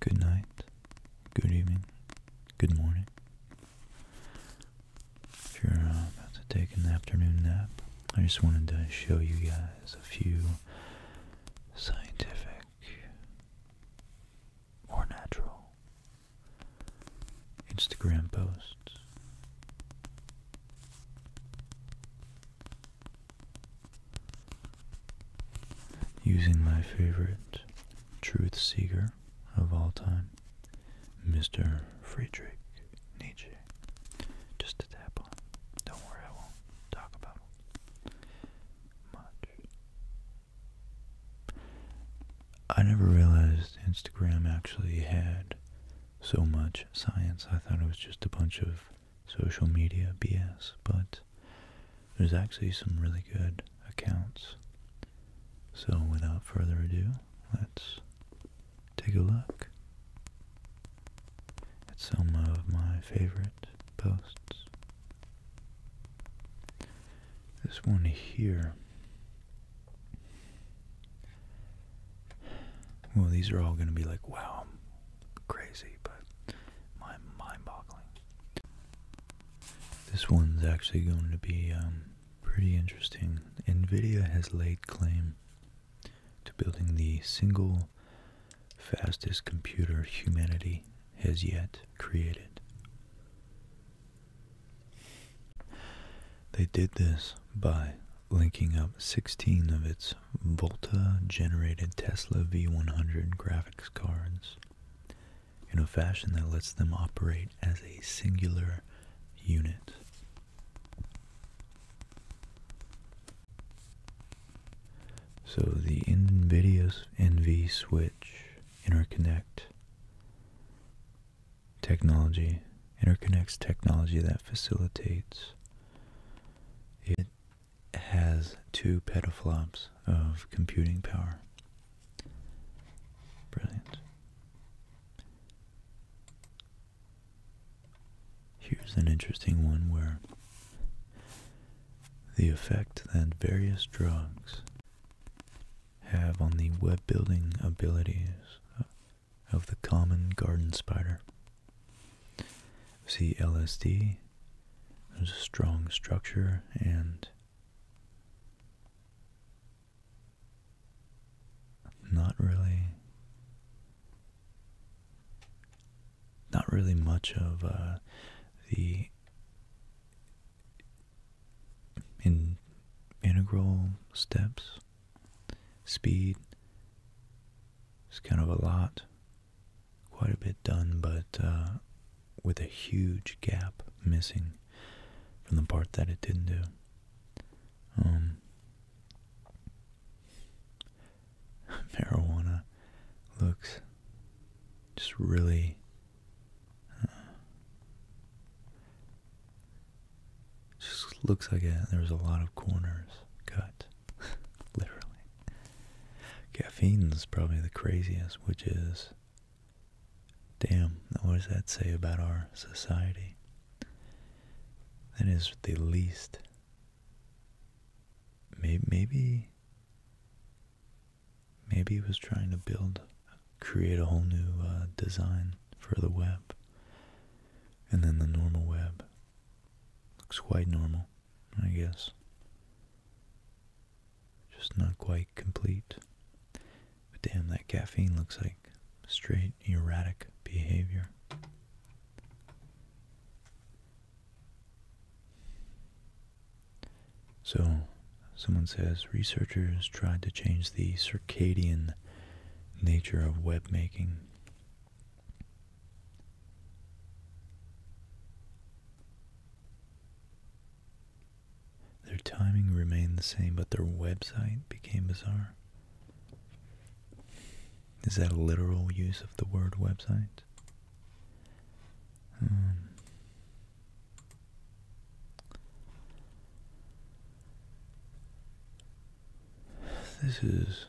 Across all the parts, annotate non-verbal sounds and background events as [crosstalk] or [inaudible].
Good night, good evening, good morning. If you're uh, about to take an afternoon nap, I just wanted to show you guys a few scientific or natural Instagram posts Using my favorite truth seeker of all time, Mr. Friedrich Nietzsche. Just to tap on. Don't worry, I won't talk about much. I never realized Instagram actually had so much science. I thought it was just a bunch of social media BS, but there's actually some really good accounts. So without further ado, let's take a look at some of my favorite posts. This one here well, these are all going to be like, wow, I'm crazy, but my mind-boggling. This one's actually going to be um, pretty interesting. NVIDIA has laid claim to building the single fastest computer humanity has yet created. They did this by linking up 16 of its Volta generated Tesla V100 graphics cards in a fashion that lets them operate as a singular unit. So the NVIDIA's NV switch interconnect technology, interconnects technology that facilitates. It has two petaflops of computing power. Brilliant. Here's an interesting one where the effect that various drugs have on the web building abilities of the common garden spider. See LSD, there's a strong structure and not really not really much of uh, the integral steps speed. It's kind of a lot, quite a bit done, but uh, with a huge gap missing from the part that it didn't do. Um, [laughs] marijuana looks just really uh, just looks like it. There was a lot of corners cut, [laughs] literally. Caffeine's probably the craziest, which is, damn, what does that say about our society? That is the least. Maybe, maybe, he was trying to build, create a whole new uh, design for the web. And then the normal web. Looks quite normal, I guess. Just not quite complete. But damn, that caffeine looks like straight erratic behavior. So, someone says researchers tried to change the circadian nature of web making. Their timing remained the same, but their website became bizarre. Is that a literal use of the word website? Um, this is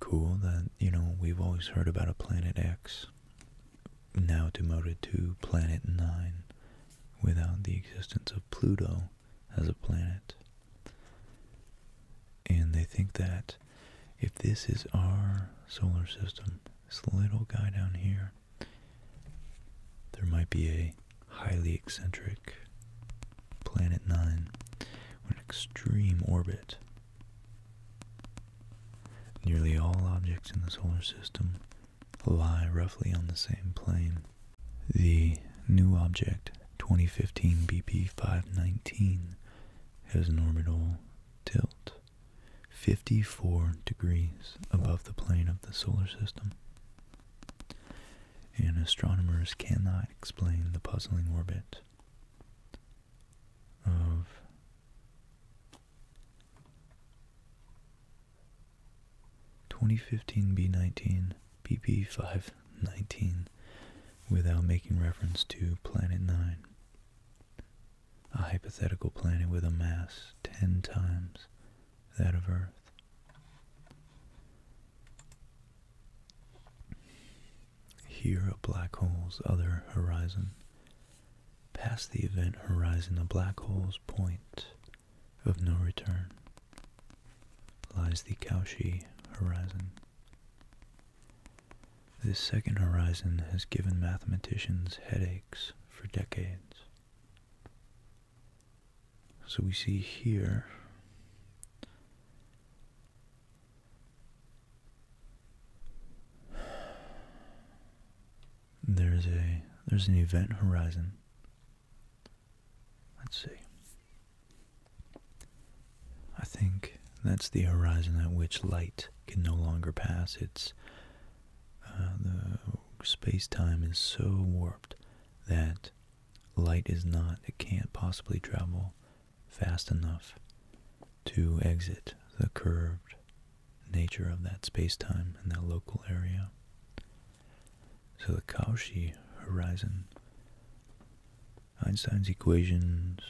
cool that, you know, we've always heard about a Planet X, now demoted to Planet 9, without the existence of Pluto as a planet. And they think that if this is our solar system, this little guy down here, there might be a highly eccentric planet 9 with an extreme orbit. Nearly all objects in the solar system lie roughly on the same plane. The new object, 2015 BP 519, has an orbital tilt 54 degrees above the plane of the solar system and astronomers cannot explain the puzzling orbit of twenty fifteen B nineteen BP five nineteen without making reference to Planet Nine, a hypothetical planet with a mass ten times that of Earth. Here, a black hole's other horizon. Past the event horizon, the black hole's point of no return lies the Cauchy horizon. This second horizon has given mathematicians headaches for decades. So we see here there's a there's an event horizon. Let's see. I think that's the horizon at which light can no longer pass. It's uh, the space time is so warped that light is not, it can't possibly travel fast enough to exit the curved nature of that space-time and that local area. So the Cauchy horizon, Einstein's equations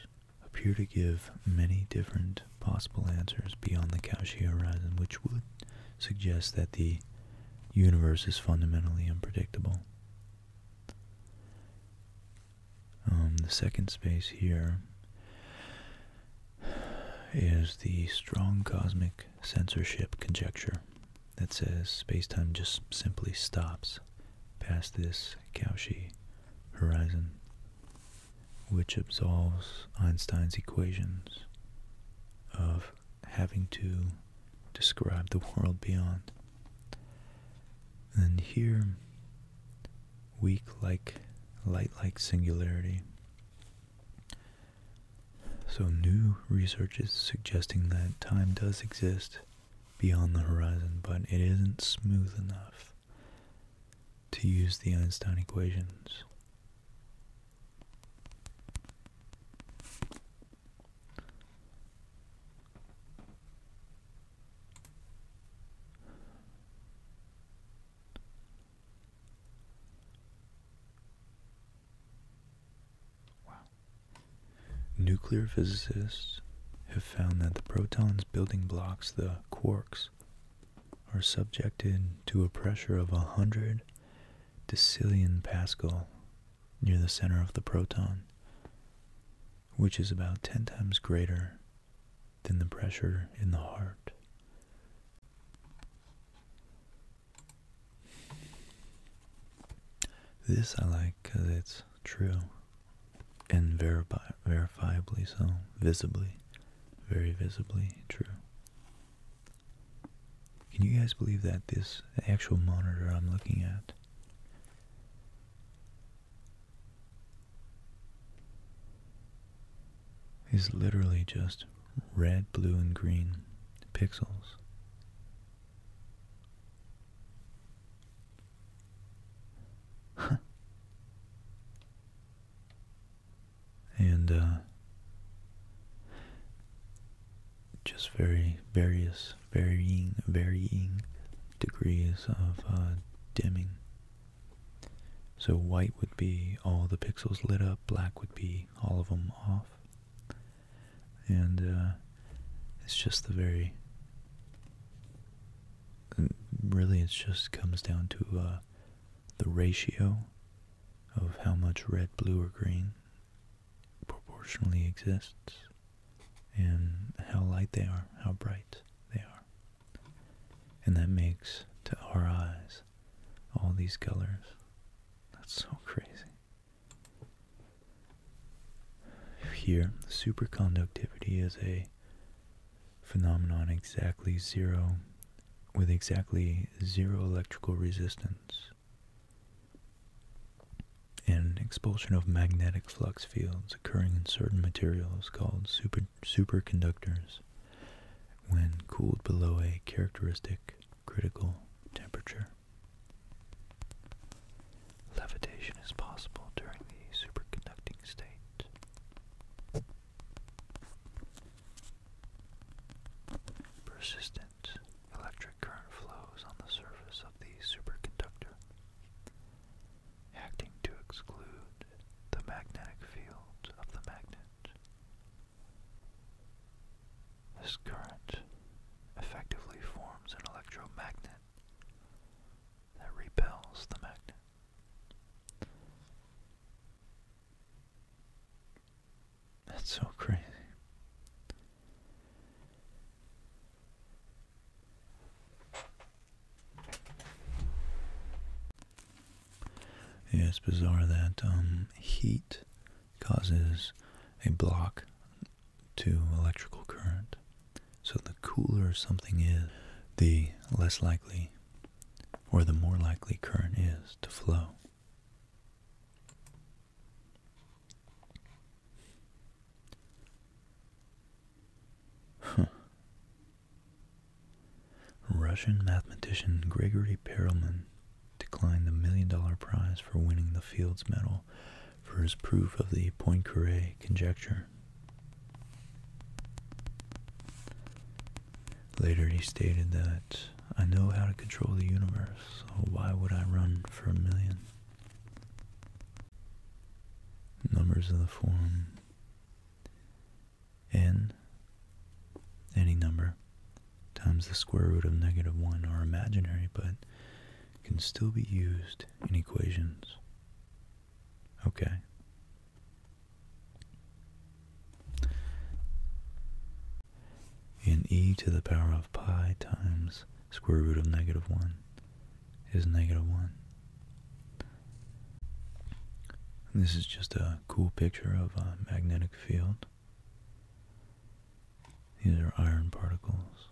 appear to give many different possible answers beyond the Cauchy horizon, which would suggest that the universe is fundamentally unpredictable. Um, the second space here is the strong cosmic censorship conjecture that says space time just simply stops past this Cauchy horizon, which absolves Einstein's equations of having to describe the world beyond. And here, weak like light like singularity. So, new research is suggesting that time does exist beyond the horizon, but it isn't smooth enough to use the Einstein equations. Nuclear physicists have found that the protons building blocks, the quarks, are subjected to a pressure of 100 decillion Pascal near the center of the proton, which is about 10 times greater than the pressure in the heart. This I like because it's true and verifiably so, visibly, very visibly true. Can you guys believe that this actual monitor I'm looking at is literally just red, blue, and green pixels? and uh, just very various, varying, varying degrees of uh, dimming. So white would be all the pixels lit up, black would be all of them off. And uh, it's just the very, really it just comes down to uh, the ratio of how much red, blue, or green proportionally exists and how light they are, how bright they are. And that makes, to our eyes, all these colors. That's so [laughs] crazy. Here, superconductivity is a phenomenon exactly zero, with exactly zero electrical resistance and expulsion of magnetic flux fields occurring in certain materials called superconductors when cooled below a characteristic critical temperature. Levitation is possible during the superconducting state. Persistent that electric current flows on the surface of the superconductor, acting to exclude the magnetic field of the magnet. This current effectively forms an electromagnet that repels the magnet. That's so crazy. Yeah, it's bizarre that um, heat causes a block to electrical current. So the cooler something is, the less likely or the more likely current is to flow. Russian mathematician Gregory Perelman declined the million dollar prize for winning the Fields Medal for his proof of the Poincare conjecture. Later, he stated that I know how to control the universe, so why would I run for a million? Numbers of the form n, any number, times the square root of negative 1 are imaginary, but can still be used in equations. Okay and e to the power of pi times square root of negative 1 is negative 1. This is just a cool picture of a magnetic field. These are iron particles.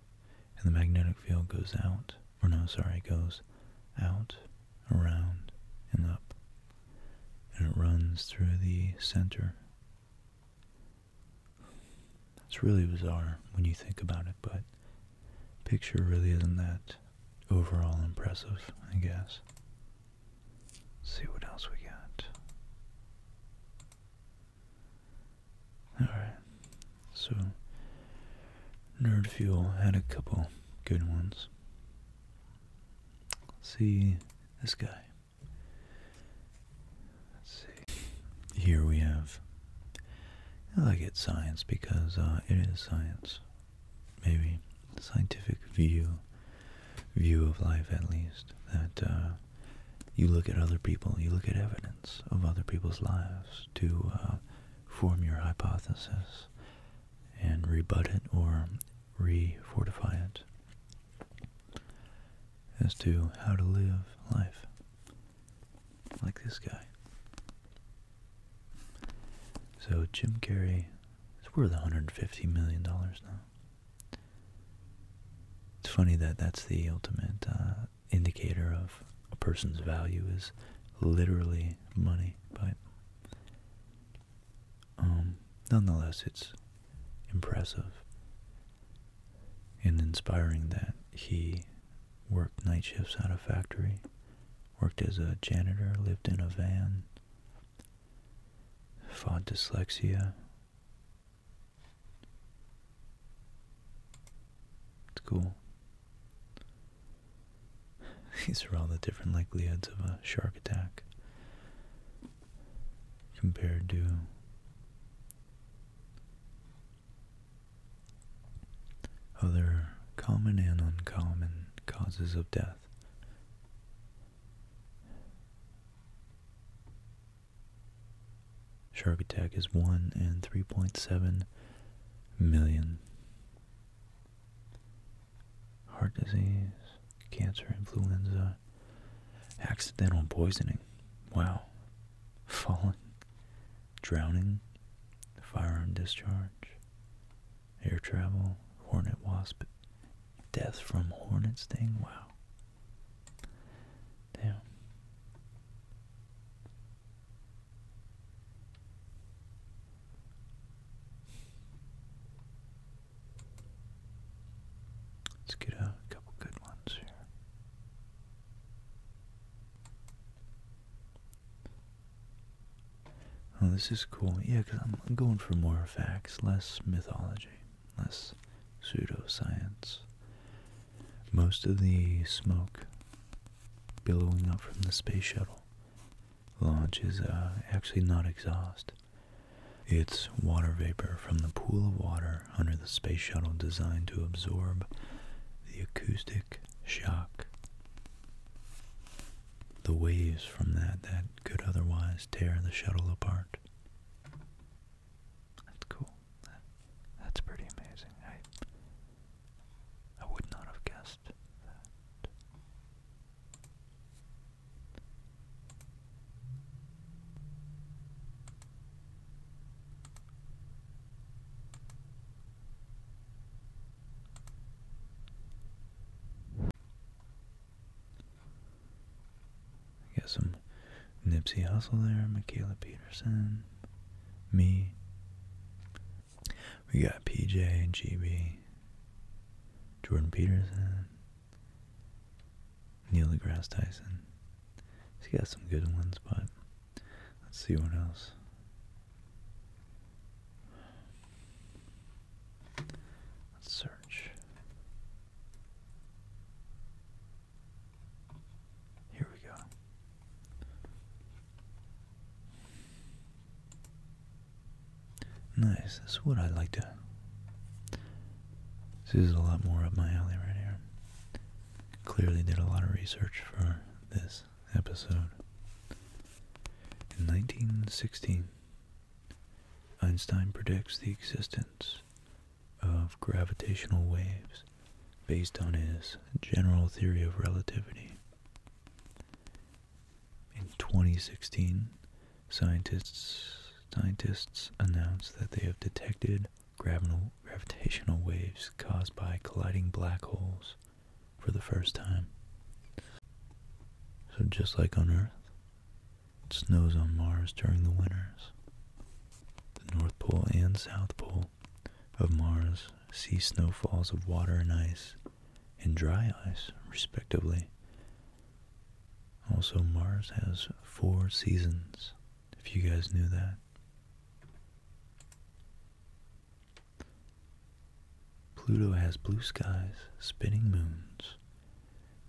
And the magnetic field goes out, or no, sorry, goes out, around, and up. And it runs through the center it's really bizarre when you think about it, but picture really isn't that overall impressive, I guess. see what else we got. Alright, so Nerd Fuel had a couple good ones. Let's see this guy. Let's see. Here we have. I like it science because uh, it is science. Maybe scientific view, view of life at least. That uh, you look at other people, you look at evidence of other people's lives to uh, form your hypothesis and rebut it or re-fortify it as to how to live life. Like this guy. So Jim Carrey is worth $150 million now. It's funny that that's the ultimate uh, indicator of a person's value is literally money, but um, nonetheless, it's impressive and inspiring that he worked night shifts at a factory, worked as a janitor, lived in a van, fought dyslexia. It's cool. [laughs] These are all the different likelihoods of a shark attack compared to other common and uncommon causes of death. Shark attack is 1 in 3.7 million. Heart disease, cancer, influenza, Accidental poisoning. Wow. Falling. Drowning. Firearm discharge. Air travel. Hornet wasp. Death from hornet sting. Wow. Damn. Let's get a couple good ones here. Oh, this is cool. Yeah, because I'm going for more facts, less mythology, less pseudoscience. Most of the smoke billowing up from the space shuttle launch is uh, actually not exhaust. It's water vapor from the pool of water under the space shuttle designed to absorb the acoustic shock. The waves from that that could otherwise tear the shuttle apart. That's cool. That's pretty amazing. I I would not have guessed that. Got some Nipsey Hustle there, Michaela Peterson, me. We got PJ, GB, Jordan Peterson, Neil deGrasse Tyson. He's got some good ones, but let's see what else. Let's search. Here we go. Nice. That's what I like to this is a lot more up my alley right here. Clearly did a lot of research for this episode. In 1916, Einstein predicts the existence of gravitational waves based on his general theory of relativity. In 2016, Scientists scientists announce that they have detected gravitational waves caused by colliding black holes for the first time. So just like on Earth, it snows on Mars during the winters. The North Pole and South Pole of Mars see snowfalls of water and ice and dry ice, respectively. Also, Mars has four seasons, if you guys knew that. Pluto has blue skies, spinning moons,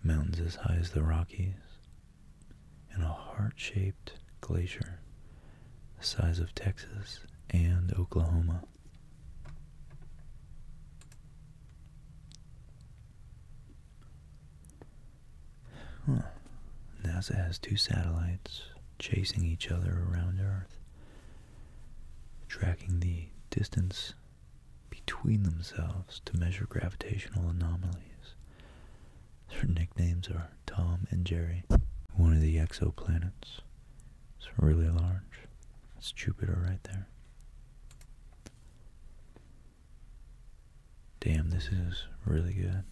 mountains as high as the Rockies, and a heart-shaped glacier the size of Texas and Oklahoma. Hmm. NASA has two satellites chasing each other around Earth, tracking the distance between themselves to measure gravitational anomalies. Their nicknames are Tom and Jerry. One of the exoplanets. It's really large. It's Jupiter right there. Damn, this is really good.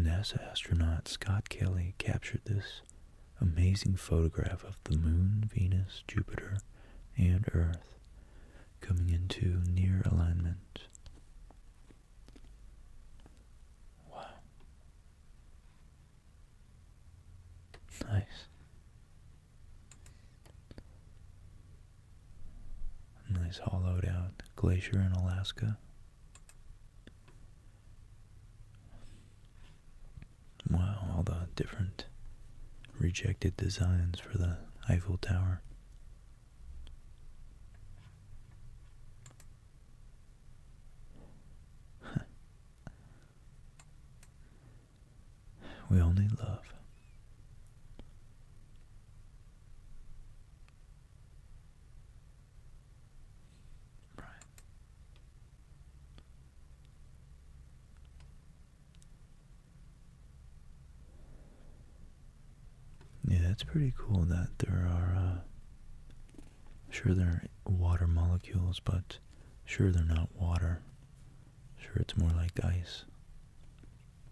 NASA astronaut Scott Kelly captured this amazing photograph of the Moon, Venus, Jupiter, and Earth coming into near alignment. Wow. Nice nice hollowed out glacier in Alaska. Wow, all the different rejected designs for the Eiffel Tower. [laughs] We only love. Right. Yeah, it's pretty cool that there are, uh, sure there are water molecules, but sure they're not water. Sure, it's more like ice,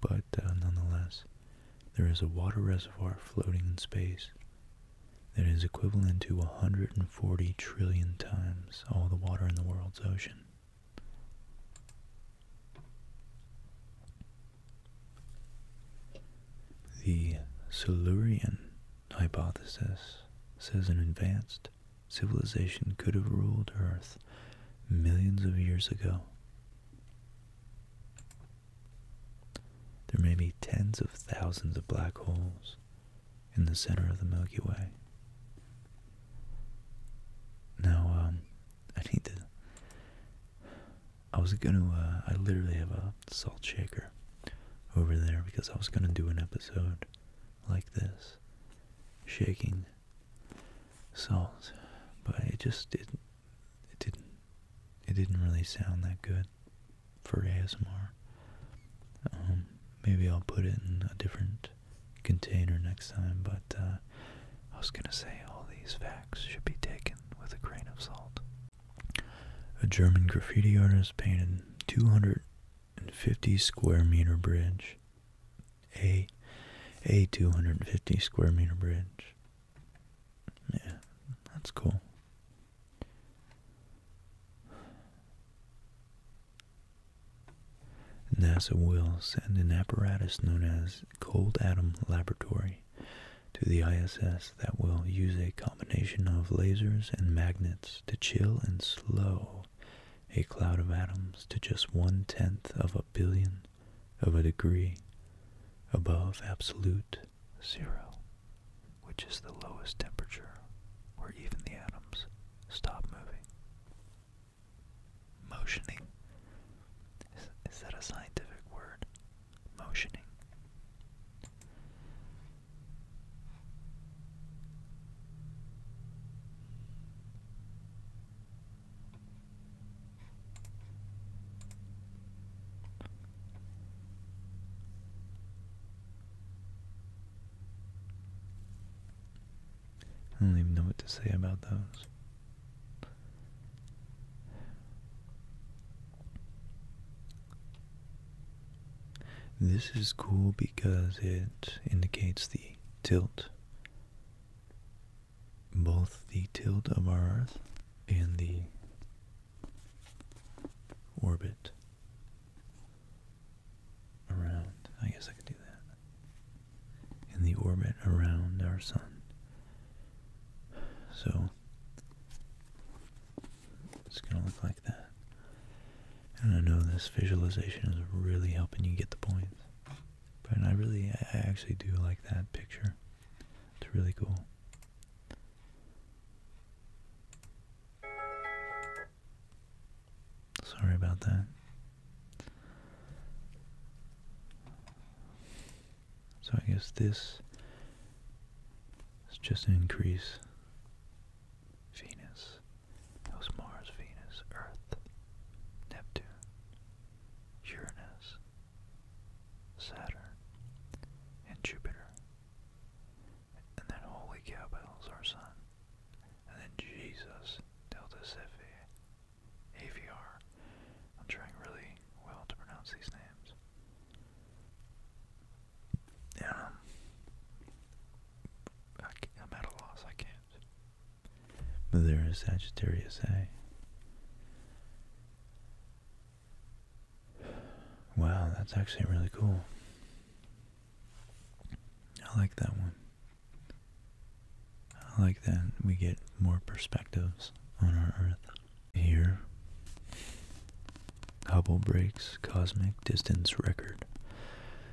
but uh, nonetheless, there is a water reservoir floating in space that is equivalent to 140 trillion times all the water in the world's ocean. The Silurian hypothesis says an advanced civilization could have ruled Earth millions of years ago. There may be tens of thousands of black holes in the center of the Milky Way. Now, um, I need to. I was gonna, uh, I literally have a salt shaker over there because I was gonna do an episode like this, shaking songs, but it just didn't. It didn't. It didn't really sound that good for ASMR. Um, maybe I'll put it in a different container next time. But uh, I was gonna say all these facts should be taken with a grain of salt. A German graffiti artist painted 250 square meter bridge a a 250 square meter bridge. Yeah, that's cool. NASA will send an apparatus known as Cold Atom Laboratory to the ISS that will use a combination of lasers and magnets to chill and slow a cloud of atoms to just one tenth of a billion of a degree above absolute zero, which is the lowest temperature where even the atoms stop moving. Motioning. Is, that a scientific word? Motioning. I don't even know what to say about those. This is cool because it indicates the tilt both the tilt of our Earth and the orbit around. I guess I could do that. And the orbit around our sun. So it's going to look like that. And I know this visualization is really helping you get the points. But I really, I actually do like that picture. It's really cool. Sorry about that. So I guess this is just an increase Venus. It was Mars, Venus, Earth, Neptune, Uranus, Saturn, and Jupiter. And then holy cow, Bell's our sun. And then Jesus, Delta Cephe, AVR. I'm trying really well to pronounce these names. Um, I am at a loss. I can't. But there is Sagittarius A. Wow, that's actually really cool. I like that one. I like that we get more perspectives on our Earth. Here, Hubble breaks cosmic distance record.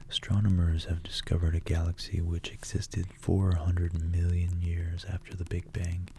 Astronomers have discovered a galaxy which existed 400 million years after the Big Bang.